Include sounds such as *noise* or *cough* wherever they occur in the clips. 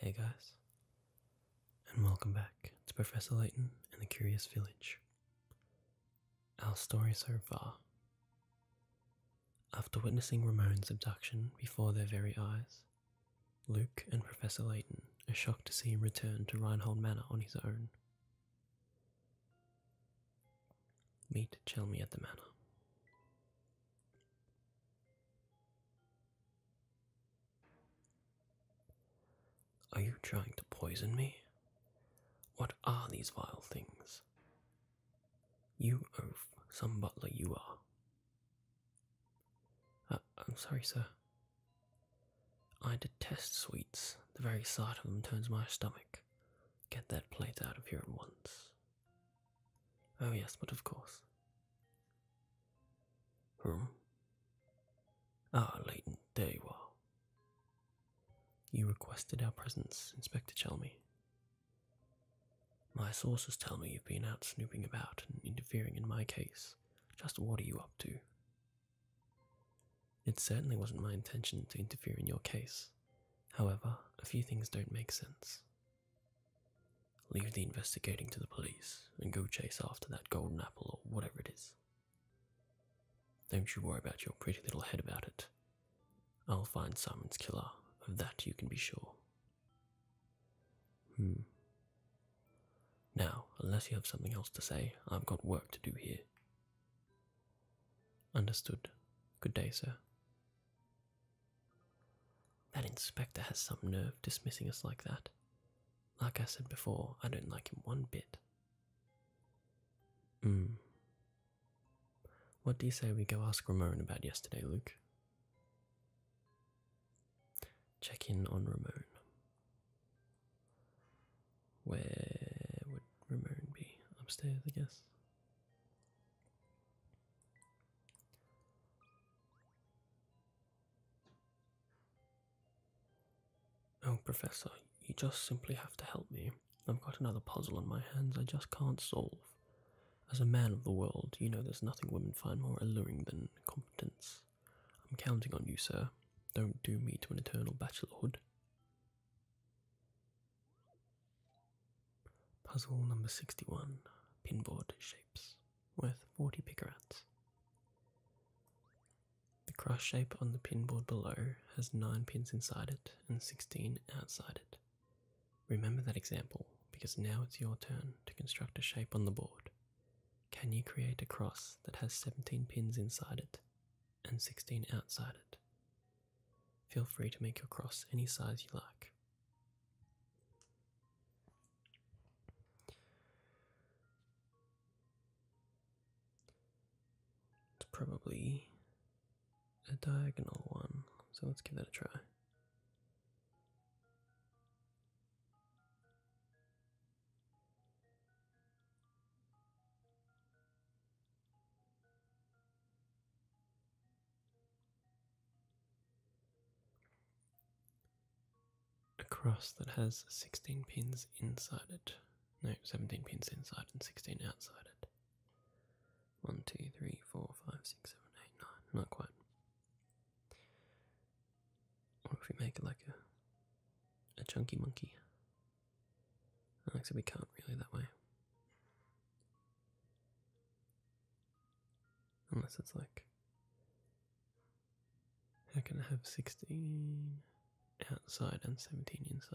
Hey guys, and welcome back to Professor Layton and the Curious Village. Our story so far. After witnessing Ramon's abduction before their very eyes, Luke and Professor Layton are shocked to see him return to Reinhold Manor on his own. Meet Chelmy at the manor. Are you trying to poison me? What are these vile things? You oaf, some butler you are. Uh, I'm sorry, sir. I detest sweets. The very sight of them turns my stomach. Get that plate out of here at once. Oh, yes, but of course. Hmm? Ah, Leighton, there you are. You requested our presence, Inspector Chelmy. My sources tell me you've been out snooping about and interfering in my case. Just what are you up to? It certainly wasn't my intention to interfere in your case. However, a few things don't make sense. Leave the investigating to the police and go chase after that golden apple or whatever it is. Don't you worry about your pretty little head about it. I'll find Simon's killer, of that you can be sure. Hmm. Now, unless you have something else to say, I've got work to do here. Understood. Good day, sir. That inspector has some nerve dismissing us like that. Like I said before, I don't like him one bit. Hmm. What do you say we go ask Ramon about yesterday, Luke? check in on Ramon. Where would Ramon be? Upstairs, I guess. Oh, Professor, you just simply have to help me. I've got another puzzle on my hands I just can't solve. As a man of the world, you know there's nothing women find more alluring than competence. I'm counting on you, sir. Don't doom me to an eternal bachelorhood. Puzzle number 61 Pinboard Shapes, worth 40 picarats. The cross shape on the pinboard below has 9 pins inside it and 16 outside it. Remember that example because now it's your turn to construct a shape on the board can you create a cross that has 17 pins inside it and 16 outside it? Feel free to make your cross any size you like. It's probably a diagonal one, so let's give that a try a cross that has 16 pins inside it. No, 17 pins inside and 16 outside it. 1, 2, 3, 4, 5, 6, 7, 8, 9. Not quite. Or if we make it like a, a chunky monkey. I Except we can't really that way. Unless it's like. How can I have 16 outside and 17 inside?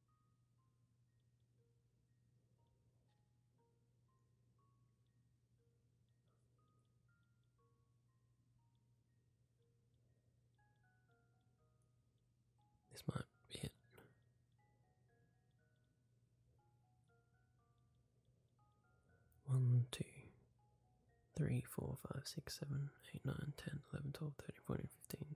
This might be it. One, two, three, four, five, six, seven, eight, nine, ten, eleven, twelve, thirteen, fourteen, fifteen,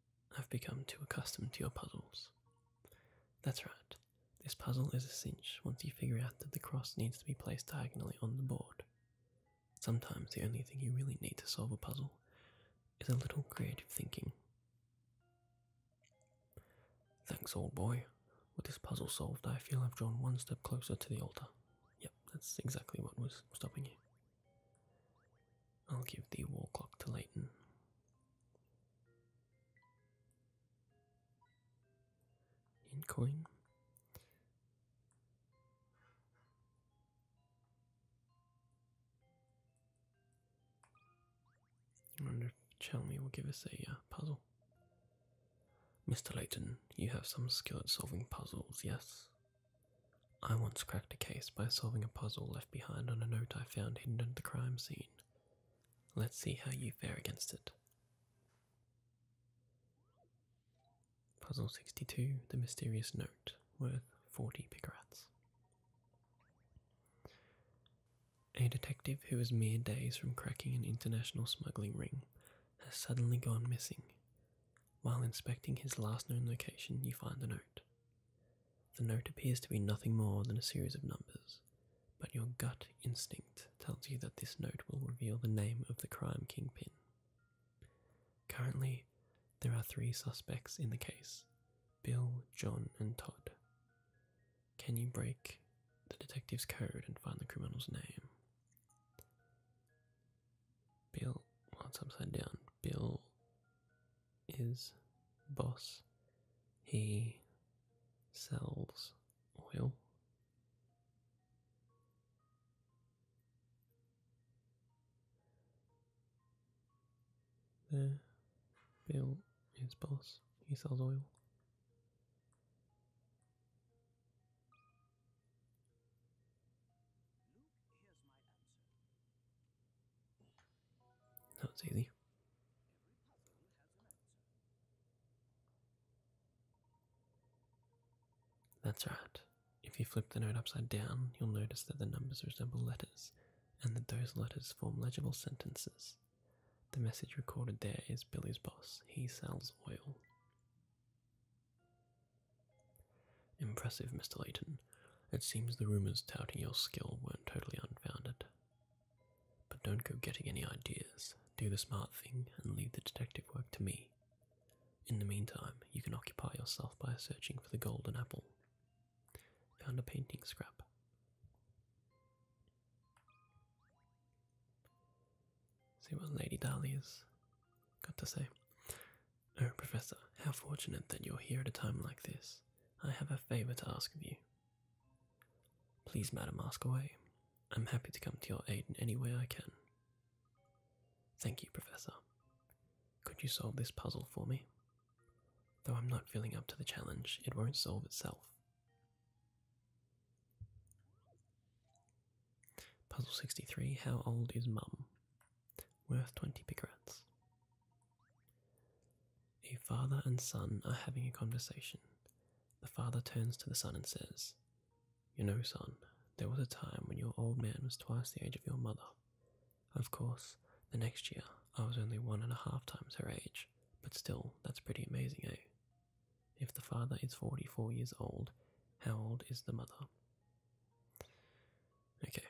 I've become too accustomed to your puzzles. That's right, this puzzle is a cinch once you figure out that the cross needs to be placed diagonally on the board. Sometimes the only thing you really need to solve a puzzle is a little creative thinking. Thanks, old boy. With this puzzle solved, I feel I've drawn one step closer to the altar. Yep, that's exactly what was stopping you. I'll give the war clock to Leighton. In coin. wonder if will give us a uh, puzzle. Mr. Layton, you have some skill at solving puzzles, yes? I once cracked a case by solving a puzzle left behind on a note I found hidden at the crime scene. Let's see how you fare against it. Puzzle 62 The Mysterious Note, worth 40 picarats. A detective who is mere days from cracking an international smuggling ring has suddenly gone missing. While inspecting his last known location, you find a note. The note appears to be nothing more than a series of numbers, but your gut instinct tells you that this note will reveal the name of the crime kingpin. Currently, there are three suspects in the case Bill, John, and Todd. Can you break the detective's code and find the criminal's name? Bill, what's upside down. Bill is boss. He sells oil. There, Bill is boss. He sells oil. No, it's That's right. If you flip the note upside down, you'll notice that the numbers resemble letters, and that those letters form legible sentences. The message recorded there is Billy's boss. He sells oil. Impressive, Mr. Layton. It seems the rumors touting your skill weren't totally unfounded. But don't go getting any ideas. Do the smart thing and leave the detective work to me. In the meantime, you can occupy yourself by searching for the golden apple. Found a painting scrap. See what Lady Dolly has got to say. Oh, Professor, how fortunate that you're here at a time like this. I have a favour to ask of you. Please, madam, ask away. I'm happy to come to your aid in any way I can. Thank you, Professor. Could you solve this puzzle for me? Though I'm not feeling up to the challenge, it won't solve itself. Puzzle 63 How old is Mum? worth 20 picarats. A father and son are having a conversation. The father turns to the son and says, You know, son, there was a time when your old man was twice the age of your mother. Of course, the next year I was only one and a half times her age, but still, that's pretty amazing, eh? If the father is 44 years old, how old is the mother? Okay.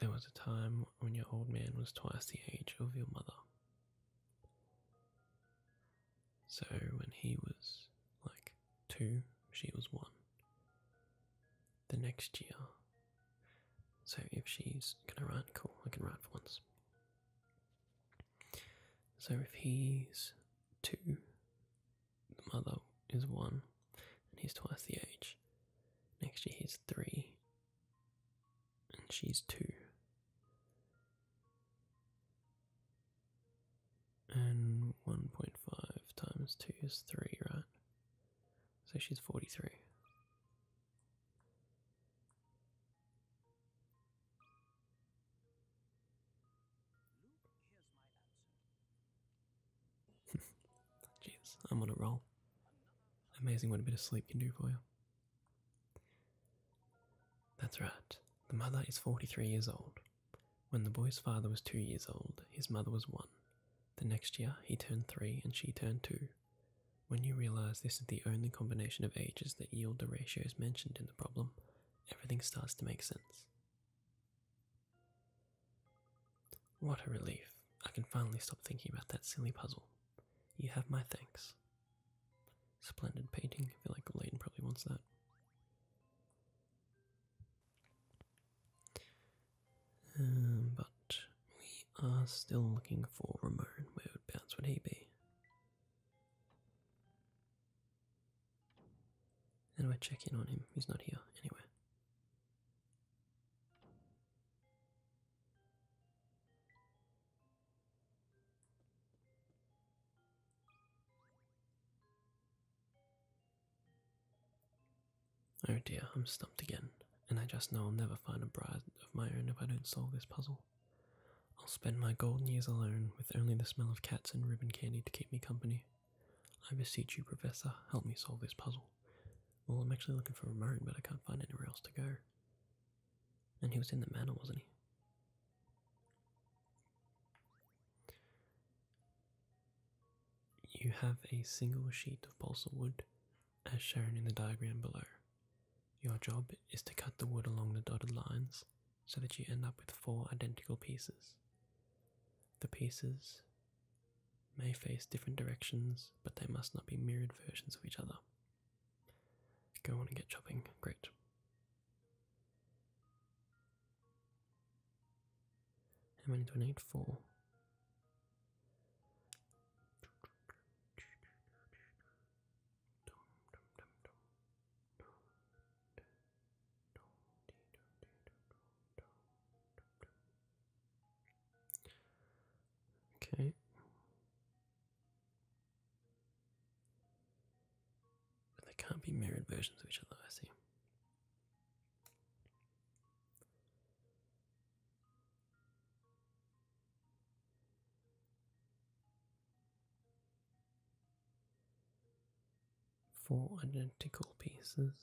There was a time when your old man was twice the age of your mother. So when he was like two, she was one. The next year. So if she's gonna write, cool, I can write for once. So if he's two, the mother is one, and he's twice the age. Next year he's three, and she's two. And 1.5 times 2 is 3, right? So she's 43. *laughs* Jeez, I'm on a roll. Amazing what a bit of sleep can do for you. That's right. The mother is 43 years old. When the boy's father was two years old, his mother was one. The next year, he turned three and she turned two. When you realize this is the only combination of ages that yield the ratios mentioned in the problem, everything starts to make sense. What a relief. I can finally stop thinking about that silly puzzle. You have my thanks. Splendid painting. I feel like Leighton probably wants that. Um, but we are still looking for Ramon. Where would bounce would he be? And we I check in on him? He's not here anywhere. Oh dear, I'm stumped again, and I just know I'll never find a bride of my own if I don't solve this puzzle. I'll spend my golden years alone with only the smell of cats and ribbon candy to keep me company. I beseech you, Professor, help me solve this puzzle. Well, I'm actually looking for a Ramon, but I can't find anywhere else to go. And he was in the manor, wasn't he? You have a single sheet of balsa wood, as shown in the diagram below. Your job is to cut the wood along the dotted lines so that you end up with four identical pieces. The pieces may face different directions, but they must not be mirrored versions of each other. Go on and get chopping. Great. How many do I need? Four. Okay. But they can't be mirrored versions of each other, I see four identical pieces.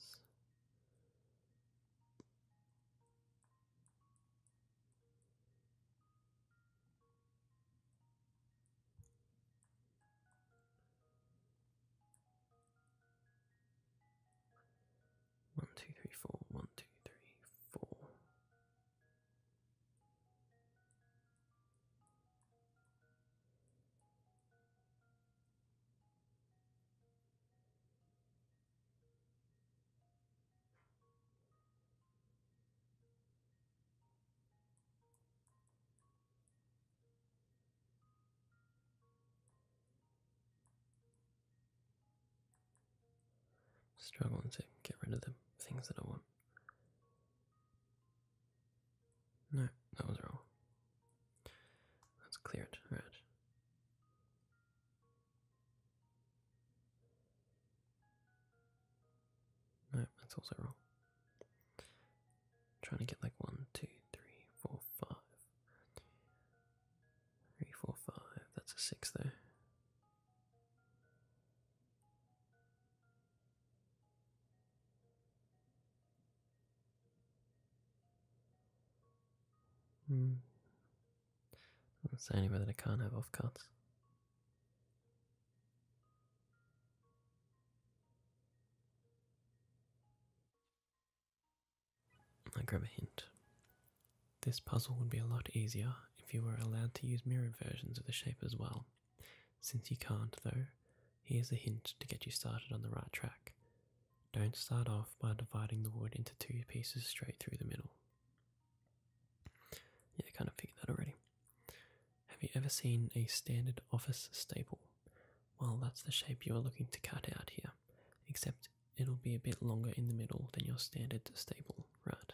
One, two, three, four, one, two, three, four. Struggling to get rid of the things that I want. No, that was wrong. Let's clear it. Right. No, that's also wrong. trying to get like one, two, three, four, five. Three, four, five. That's a six there. Hmm. It's the only that I can't have off cuts. I grab a hint. This puzzle would be a lot easier if you were allowed to use mirror versions of the shape as well. Since you can't, though, here's a hint to get you started on the right track. Don't start off by dividing the wood into two pieces straight through the middle. Yeah, I kind of figured that already. Have you ever seen a standard office staple? Well, that's the shape you are looking to cut out here, except it'll be a bit longer in the middle than your standard staple, right?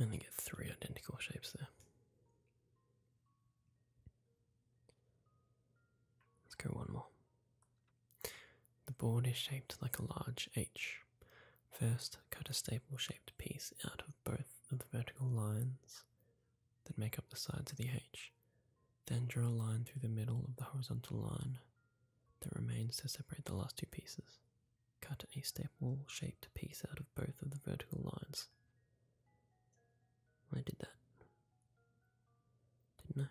And I get three identical shapes there. Let's go one more. The board is shaped like a large H. First, cut a staple shaped piece out of both of the vertical lines that make up the sides of the H. Then draw a line through the middle of the horizontal line that remains to separate the last two pieces. Cut a staple shaped piece out of both of the vertical lines. I did that. Didn't I?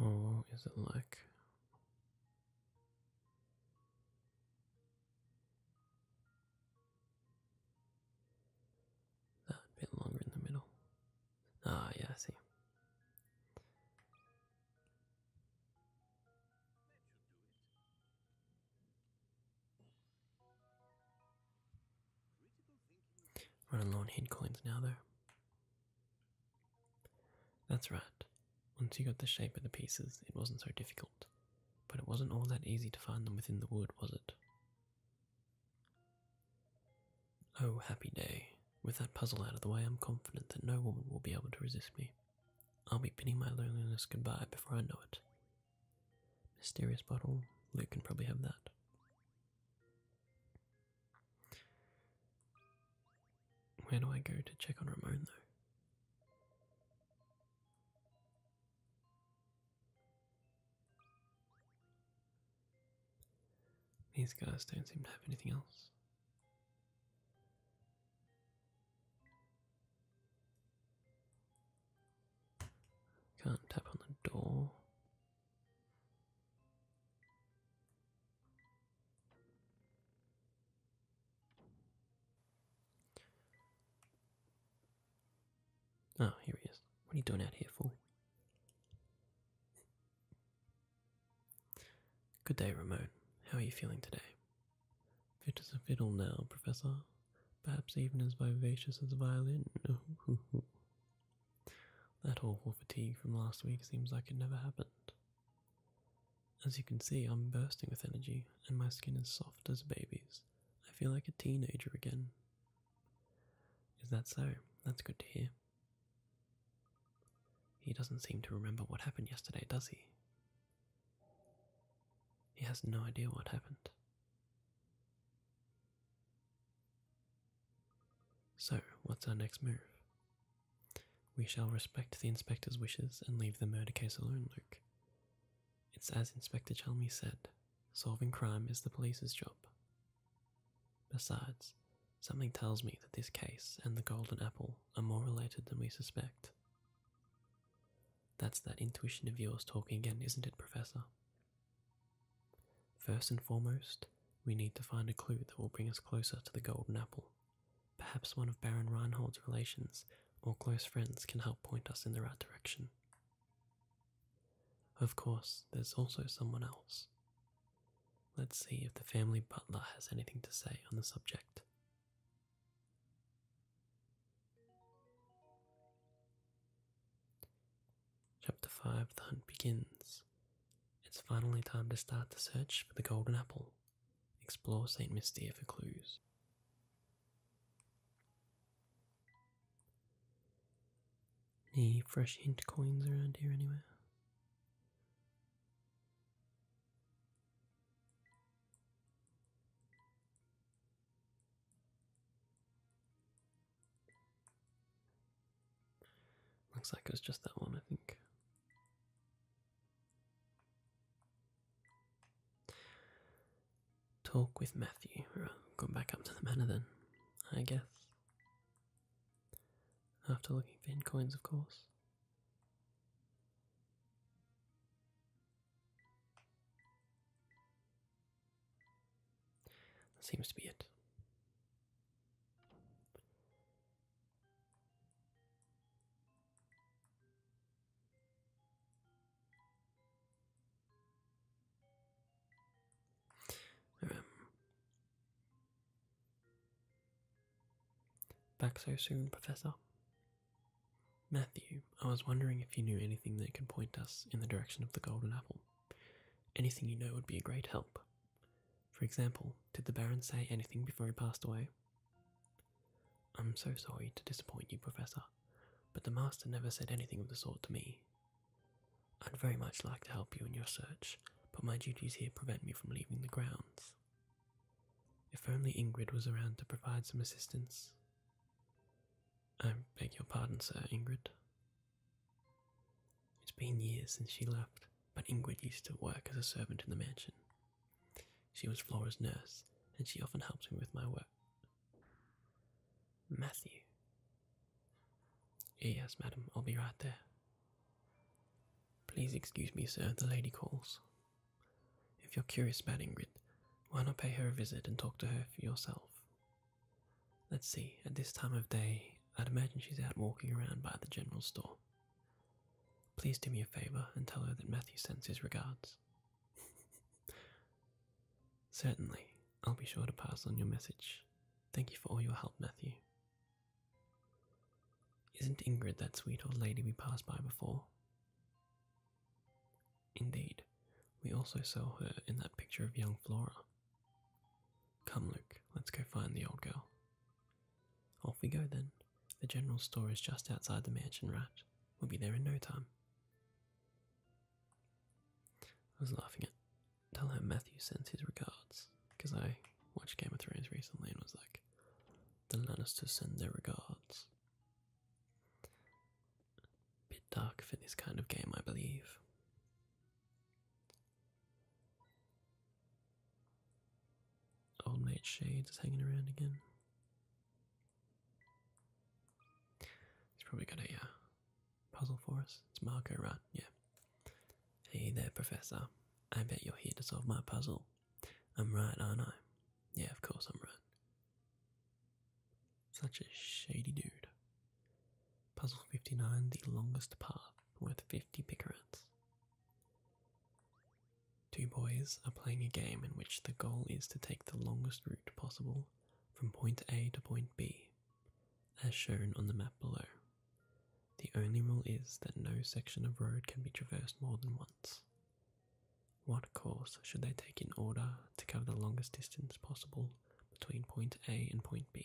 Oh, is it like? That bit longer in the middle. Ah, yeah, I see. Running low on hate coins now, though. That's right. Once you got the shape of the pieces, it wasn't so difficult. But it wasn't all that easy to find them within the wood, was it? Oh, happy day. With that puzzle out of the way, I'm confident that no woman will be able to resist me. I'll be bidding my loneliness goodbye before I know it. Mysterious bottle, Luke can probably have that. Where do I go to check on Ramon though? These guys don't seem to have anything else. Can't tap on the door. Oh, here he is. What are you doing out here, fool? Good day, Ramon. How are you feeling today? Fit as a fiddle now, Professor. Perhaps even as vivacious as a violin. *laughs* That awful fatigue from last week seems like it never happened. As you can see, I'm bursting with energy, and my skin is soft as a baby's. I feel like a teenager again. Is that so? That's good to hear. He doesn't seem to remember what happened yesterday, does he? He has no idea what happened. So, what's our next move? We shall respect the inspector's wishes and leave the murder case alone, Luke. It's as Inspector Chalmers said solving crime is the police's job. Besides, something tells me that this case and the golden apple are more related than we suspect. That's that intuition of yours talking again, isn't it, Professor? First and foremost, we need to find a clue that will bring us closer to the golden apple. Perhaps one of Baron Reinhold's relations or close friends can help point us in the right direction. Of course, there's also someone else. Let's see if the family butler has anything to say on the subject. Chapter 5 The Hunt Begins. It's finally time to start the search for the Golden Apple. Explore St. Mystere for clues. Any fresh hint coins around here anywhere? Looks like it was just that one, I think. Talk with Matthew. Right, go back up to the manor then, I guess. After looking for in coins, of course. That seems to be it. Um, back so soon, Professor. Matthew, I was wondering if you knew anything that could point us in the direction of the golden apple. Anything you know would be a great help. For example, did the Baron say anything before he passed away? I'm so sorry to disappoint you, Professor, but the Master never said anything of the sort to me. I'd very much like to help you in your search, but my duties here prevent me from leaving the grounds. If only Ingrid was around to provide some assistance. I beg your pardon, sir, Ingrid. It's been years since she left, but Ingrid used to work as a servant in the mansion. She was Flora's nurse, and she often helped me with my work. Matthew. Yes, madam, I'll be right there. Please excuse me, sir, the lady calls. If you're curious about Ingrid, why not pay her a visit and talk to her for yourself? Let's see, at this time of day, I'd imagine she's out walking around by the general store. Please do me a favour and tell her that Matthew sends his regards. *laughs* Certainly, I'll be sure to pass on your message. Thank you for all your help, Matthew. Isn't Ingrid that sweet old lady we passed by before? Indeed, we also saw her in that picture of young Flora. Come, Luke, let's go find the old girl. Off we go then. The general store is just outside the mansion, right? We'll be there in no time. I was laughing at tell her Matthew sends his regards because I watched Game of Thrones recently and was like, the Lannisters send their regards. Bit dark for this kind of game, I believe. Old mate Shades is hanging around again. He's probably got a uh, puzzle for us. It's Marco, right? Yeah. Hey there, Professor. I bet you're here to solve my puzzle. I'm right, aren't I? Yeah, of course I'm right. Such a shady dude. Puzzle 59 The Longest Path with 50 picarats. Two boys are playing a game in which the goal is to take the longest route possible from point A to point B, as shown on the map below. The only rule is that no section of road can be traversed more than once. What course should they take in order to cover the longest distance possible between point A and point B?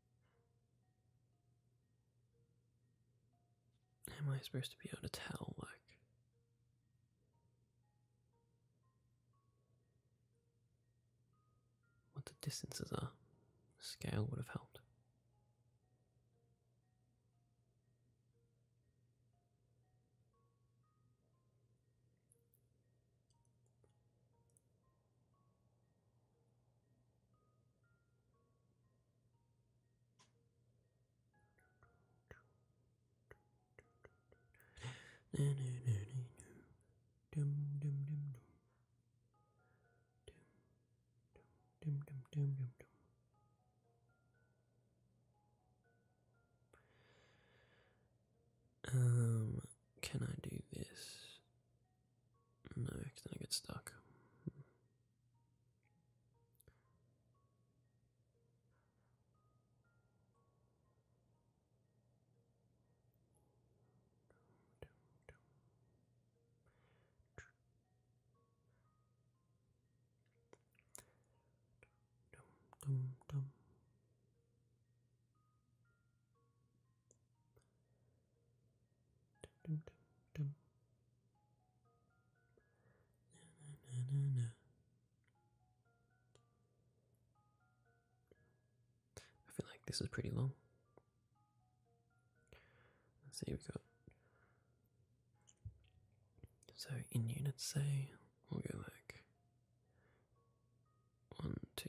Am I supposed to be able to tell, like? What the distances are. The scale would have helped. Um, can I do this? No, because then I get stuck. I feel like this is pretty long. Let's see, we've got. So in units, say, we'll go like one, two,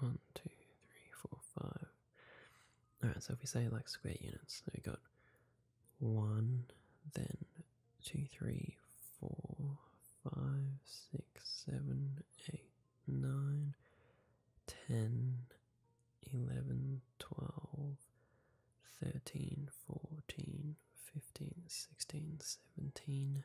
one, two, three, four, five. Alright, so if we say like square units, so we got one, then two, three, four, five, six, seven, eight, nine, ten, eleven, twelve, thirteen, fourteen, fifteen, sixteen, seventeen.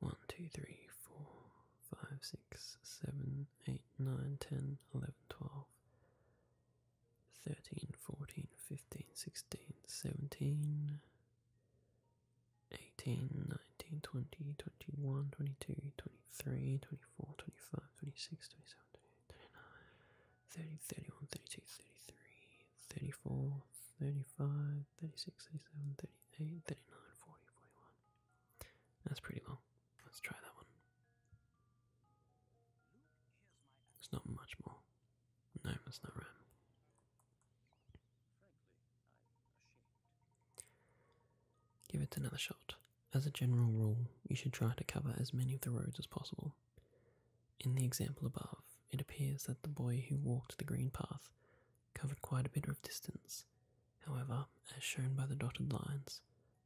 1, 2, 3, 4, 5, 6, 7, 8, 9, 10, 11, 12, 13, 14, 15, 16, 17, 18, 19, 20, 21, 22, 23, 24, 25, 26, 27, 28, 29, 30, 31, 32, 33, 34, 35, 36, 37, 38, 39, 40, 41. That's pretty long. Let's try that one. There's not much more. No, that's not right. Give it another shot. As a general rule, you should try to cover as many of the roads as possible. In the example above, it appears that the boy who walked the green path covered quite a bit of distance. However, as shown by the dotted lines,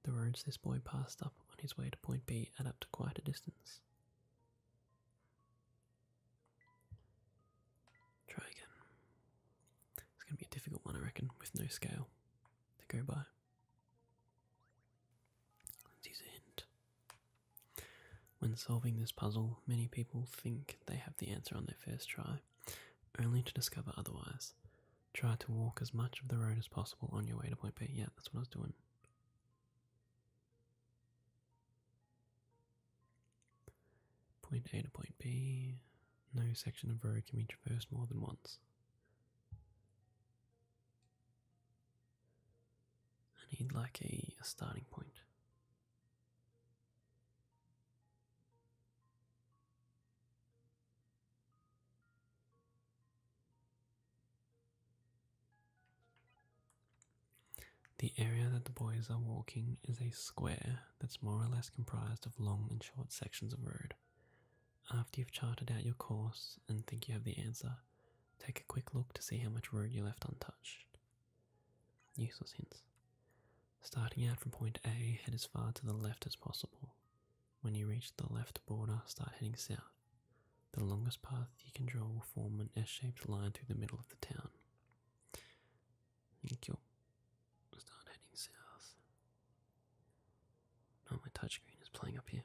the roads this boy passed up on his way to point B add up to quite a distance. Try again. It's going to be a difficult one, I reckon, with no scale to go by. use a hint. When solving this puzzle, many people think they have the answer on their first try, only to discover otherwise. Try to walk as much of the road as possible on your way to point B. Yeah, that's what I was doing. Point A to point B. No section of road can be traversed more than once. I need like a starting point. The area that the boys are walking is a square that's more or less comprised of long and short sections of road. After you've charted out your course and think you have the answer, take a quick look to see how much road you left untouched. Useful hints. Starting out from point A, head as far to the left as possible. When you reach the left border, start heading south. The longest path you can draw will form an S shaped line through the middle of the town. Thank you. Start heading south. Oh, my touchscreen is playing up here.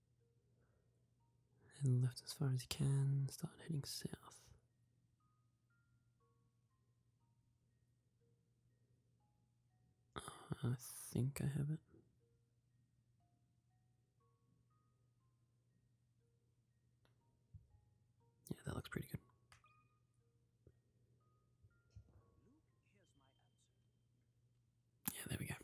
and left as far as you can, start heading south. Uh, I think I have it. Yeah, that looks pretty good. Yeah, there we go.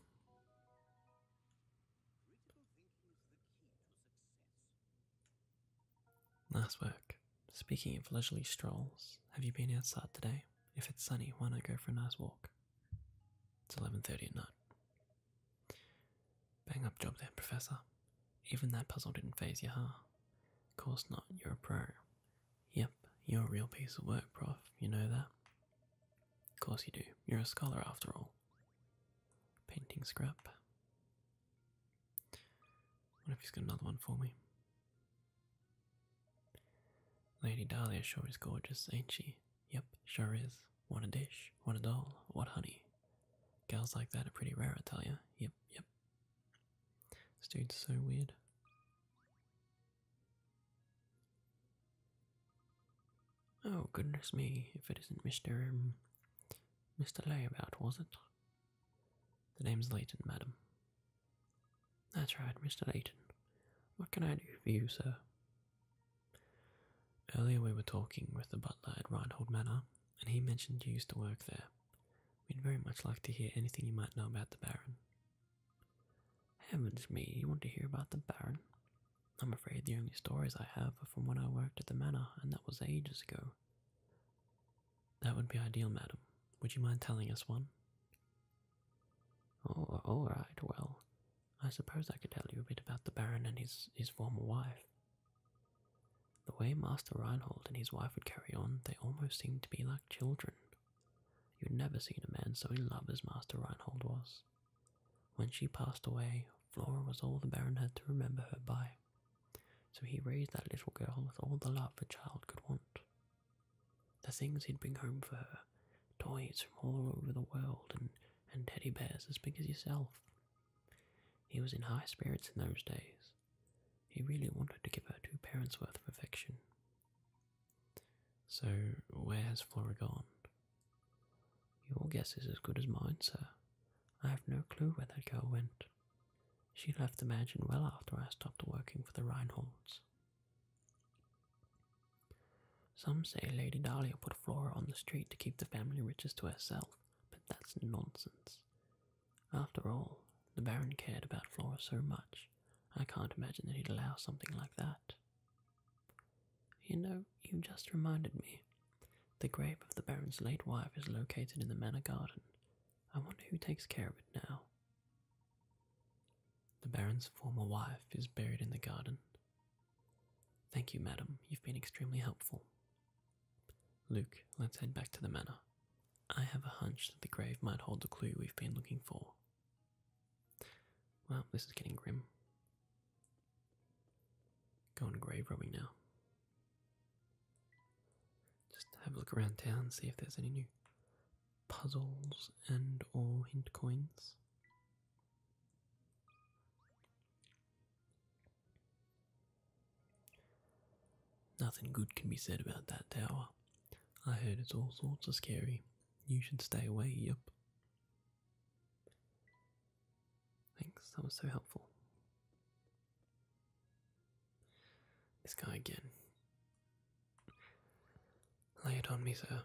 Nice work. Speaking of leisurely strolls, have you been outside today? If it's sunny, why not go for a nice walk? It's 11.30 at night. Bang up job there, Professor. Even that puzzle didn't phase you, huh? Of course not, you're a pro. Yep, you're a real piece of work, Prof, you know that. Of course you do. You're a scholar after all. Painting scrap. What if he's got another one for me? Lady Dahlia sure is gorgeous, ain't she? Yep, sure is. What a dish, what a doll, what honey. Gals like that are pretty rare, I tell ya. Yep, yep. This dude's so weird. Oh, goodness me, if it isn't Mr. Mr. Um, Layabout, was it? The name's Layton, madam. That's right, Mr. Layton. What can I do for you, sir? Earlier we were talking with the butler at Reinhold Manor, and he mentioned you used to work there. We'd very much like to hear anything you might know about the Baron. Heavens me, you want to hear about the Baron? I'm afraid the only stories I have are from when I worked at the manor, and that was ages ago. That would be ideal, madam. Would you mind telling us one? Oh, all right. Well, I suppose I could tell you a bit about the Baron and his his former wife. The way Master Reinhold and his wife would carry on, they almost seemed to be like children. You'd never seen a man so in love as Master Reinhold was. When she passed away, Flora was all the Baron had to remember her by, so he raised that little girl with all the love a child could want. The things he'd bring home for her toys from all over the world and, and teddy bears as big as yourself. He was in high spirits in those days. He really wanted to give her two parents' worth of affection. So, where has Flora gone? Your guess is as good as mine, sir. I have no clue where that girl went. She left the mansion well after I stopped working for the Reinholds. Some say Lady Dahlia put Flora on the street to keep the family riches to herself, but that's nonsense. After all, the Baron cared about Flora so much, I can't imagine that he'd allow something like that. You know, you just reminded me. The grave of the Baron's late wife is located in the manor garden. I wonder who takes care of it now. The Baron's former wife is buried in the garden. Thank you, madam. You've been extremely helpful. Luke, let's head back to the manor. I have a hunch that the grave might hold the clue we've been looking for. Well, this is getting grim. Going grave robbing now. Just have a look around town, see if there's any new puzzles and or hint coins. Nothing good can be said about that tower. I heard it's all sorts of scary. You should stay away, yep. Thanks, that was so helpful. This guy again. Lay it on me, sir.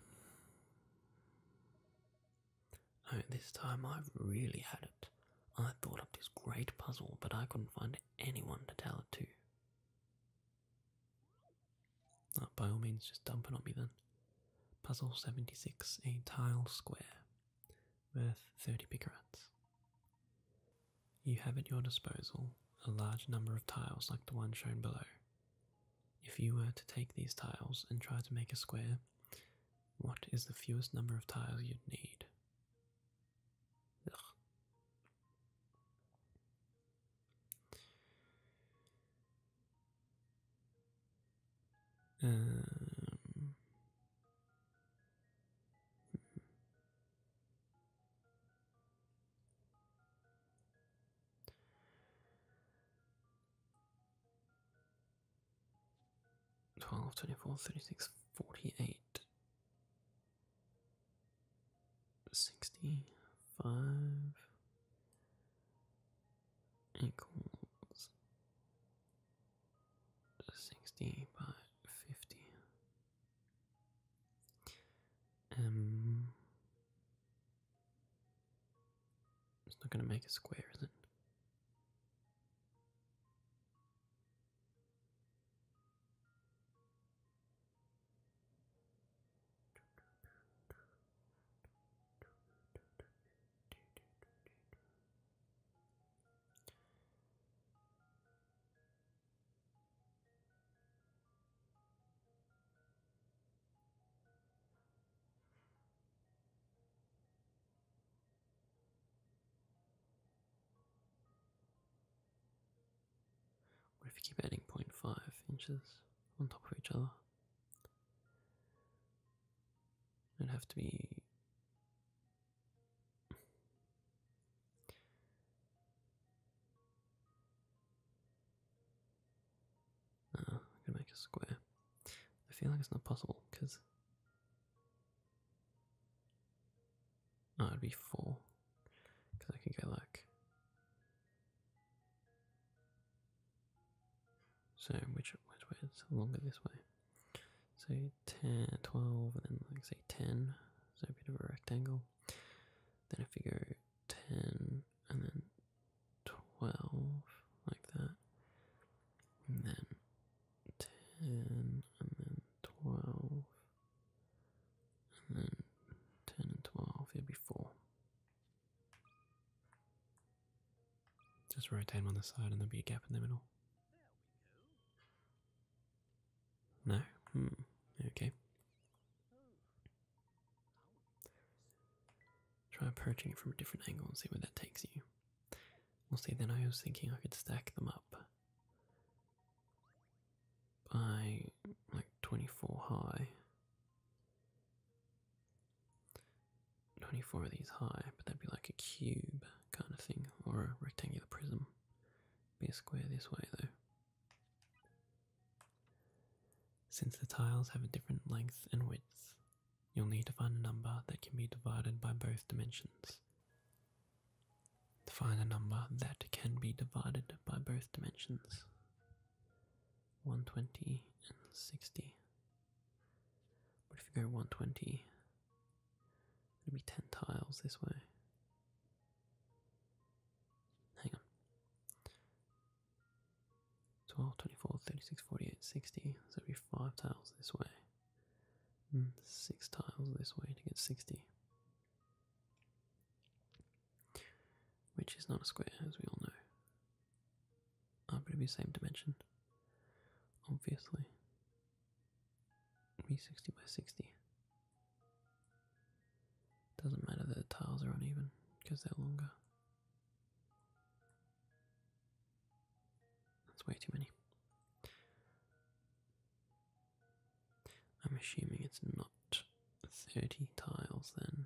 Oh, this time I've really had it. I thought up this great puzzle, but I couldn't find anyone to tell it to. By all means, just dump it on me then. Puzzle 76, a tile square, worth 30 picarats. You have at your disposal a large number of tiles like the one shown below. If you were to take these tiles and try to make a square, what is the fewest number of tiles you'd need? Um, Twelve, twenty-four, thirty-six, forty-eight, sixty-five, equals sixty by fifty. Um it's not gonna make a square, is it? What if you keep adding 0.5 inches on top of each other? It'd have to be. Uh, *sighs* I could make a square. I feel like it's not possible because. Oh, would be four. Because I could go like so which which way is longer this way? So 10, 12, and then like say 10, so a bit of a rectangle. Then if you go 10 and then 12, like that, and then 10 and then 12, and then 10 and 12, it'd be 4. Just rotate them on the side and there'll be a gap in the middle. No? Hmm. Okay. Try approaching it from a different angle and see where that takes you. We'll see, then I was thinking I could stack them up by like 24 high. 24 of these high, but that'd be like a cube kind of thing, or a rectangular prism. Be a square this way though. Since the tiles have a different length and width, you'll need to find a number that can be divided by both dimensions. find a number that can be divided by both dimensions. 120 and 60 but if you go 120, it'll be 10 tiles this way. Hang on. 12, 24, 36, 48, 60. So it'll be 5 tiles this way. Hmm, 6 tiles this way to get 60. Which is not a square, as we all know are going to be same dimension. Obviously. Be 60 by 60. Doesn't matter that the tiles are uneven because they're longer. That's way too many. I'm assuming it's not 30 tiles then.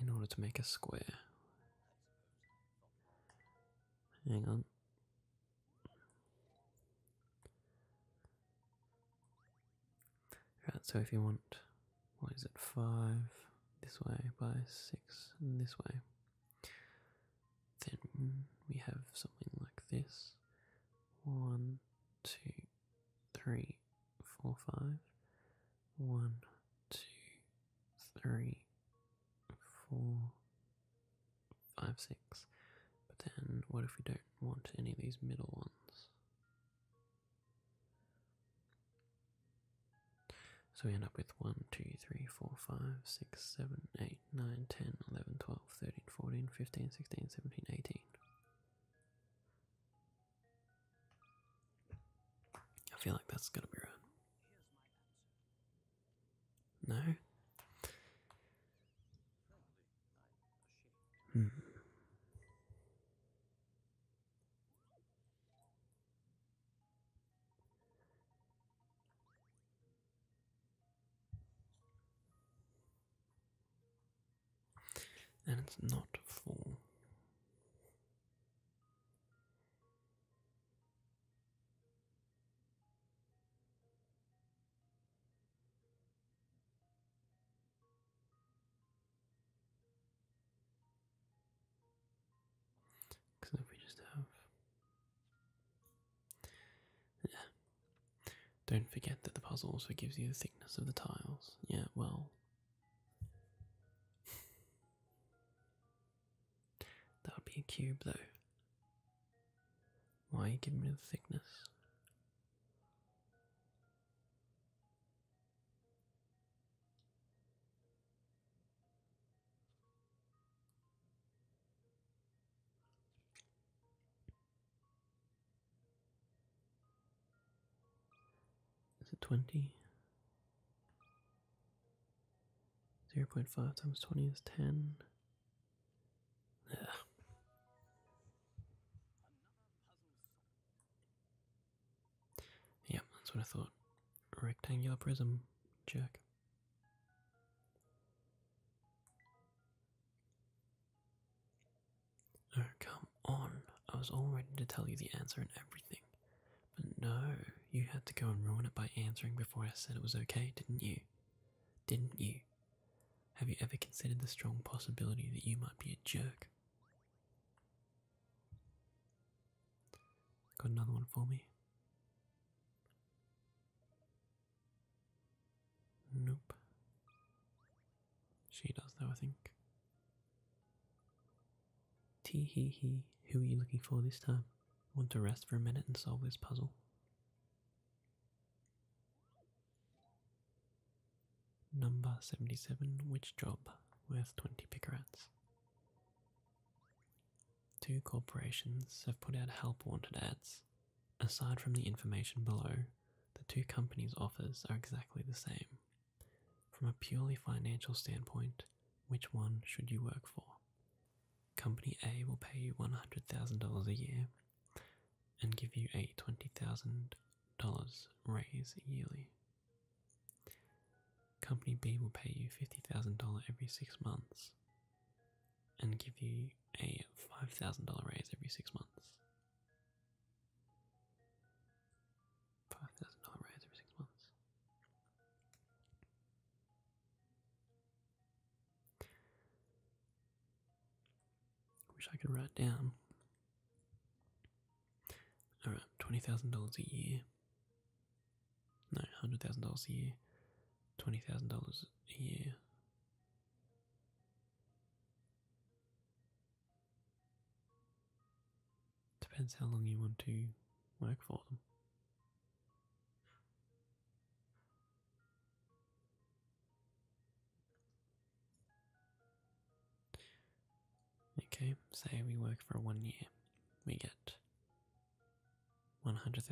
in order to make a square. Hang on. Right, so if you want, what is it, 5 this way by 6 this way, then we have something like this. One, two, three, four, five. One, two, three, four, five, six. But then what if we don't want any of these middle ones? So we end up with 1, 2, 3, 4, 5, 6, 7, 8, 9, 10, 11, 12, 13, 14, 15, 16, 17, 18. I feel like that's going to be right. No. Hmm and it's not full. Because if we just have yeah. Don't forget that the puzzle also gives you the thickness of the tiles. Yeah, well. *laughs* that would be a cube, though. Why give me the thickness? Is it 20? 0.5 times 20 is 10. Yeah. Yep, that's what I thought. Rectangular prism, check. No, come on. I was all ready to tell you the answer and everything. But no, you had to go and ruin it by answering before I said it was okay, didn't you? Didn't you? Have you ever considered the strong possibility that you might be a jerk? Got another one for me? Nope. She does though, I think. Tee hee hee, who are you looking for this time? Want to rest for a minute and solve this puzzle? Number 77, which job? Worth 20 picarats. Two corporations have put out help wanted ads Aside from the information below, the two companies' offers are exactly the same. From a purely financial standpoint, which one should you work for? Company A will pay you $100,000 a year and give you a $20,000 raise yearly. Company B will pay you $50,000 every six months and give you a $5,000 raise every six months. Five thousand dollar raise every six months. Wish I could write down. All right, twenty thousand dollars a year. No, hundred thousand dollars a year. Twenty thousand dollars a year. Depends how long you want to work for them. Okay, say we work for one year. We get $100,000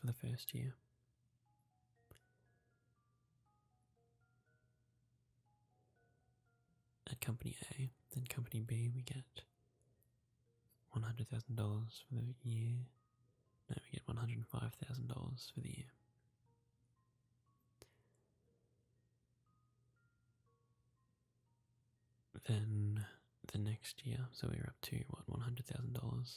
for the first year, at Company A, then Company B, we get $100,000 for the year. No, we get $105,000 for the year. Then the next year, so we are up to what $100,000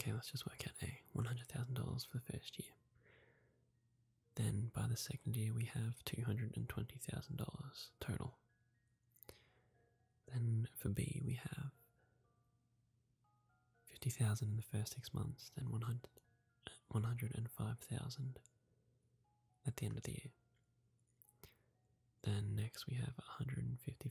Okay, let's just work out a $100,000 for the first year. Then by the second year, we have $220,000 total. Then for B, we have 50,000 in the first six months, then 100, uh, 105,000 at the end of the year. Then next we have 150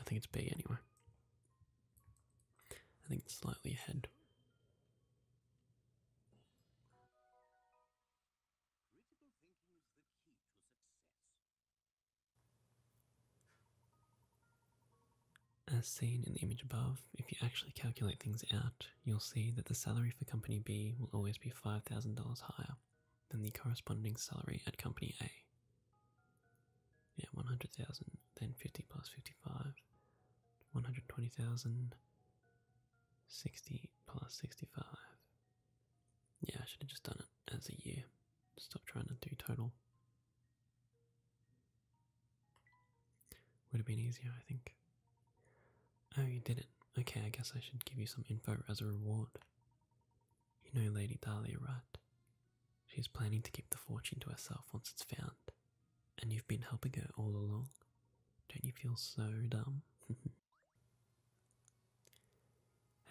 I think it's B anyway. I think it's slightly ahead. As seen in the image above, if you actually calculate things out, you'll see that the salary for Company B will always be $5,000 higher than the corresponding salary at company A. Yeah, 100,000, then 50 plus 55, 120,000, 60 plus 65. Yeah, I should have just done it as a year. Stop trying to do total. Would have been easier, I think. Oh, you did it. Okay, I guess I should give you some info as a reward. You know Lady Dahlia, right? She's planning to keep the fortune to herself once it's found, and you've been helping her all along. Don't you feel so dumb? *laughs*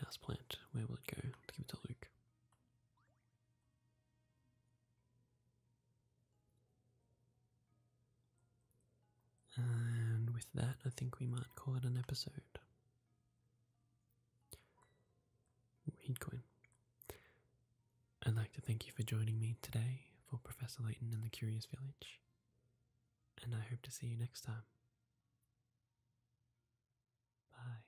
Houseplant, where will it go? let give it to Luke. And with that, I think we might call it an episode. Weedcoin. I'd like to thank you for joining me today for Professor Layton and the Curious Village, and I hope to see you next time. Bye.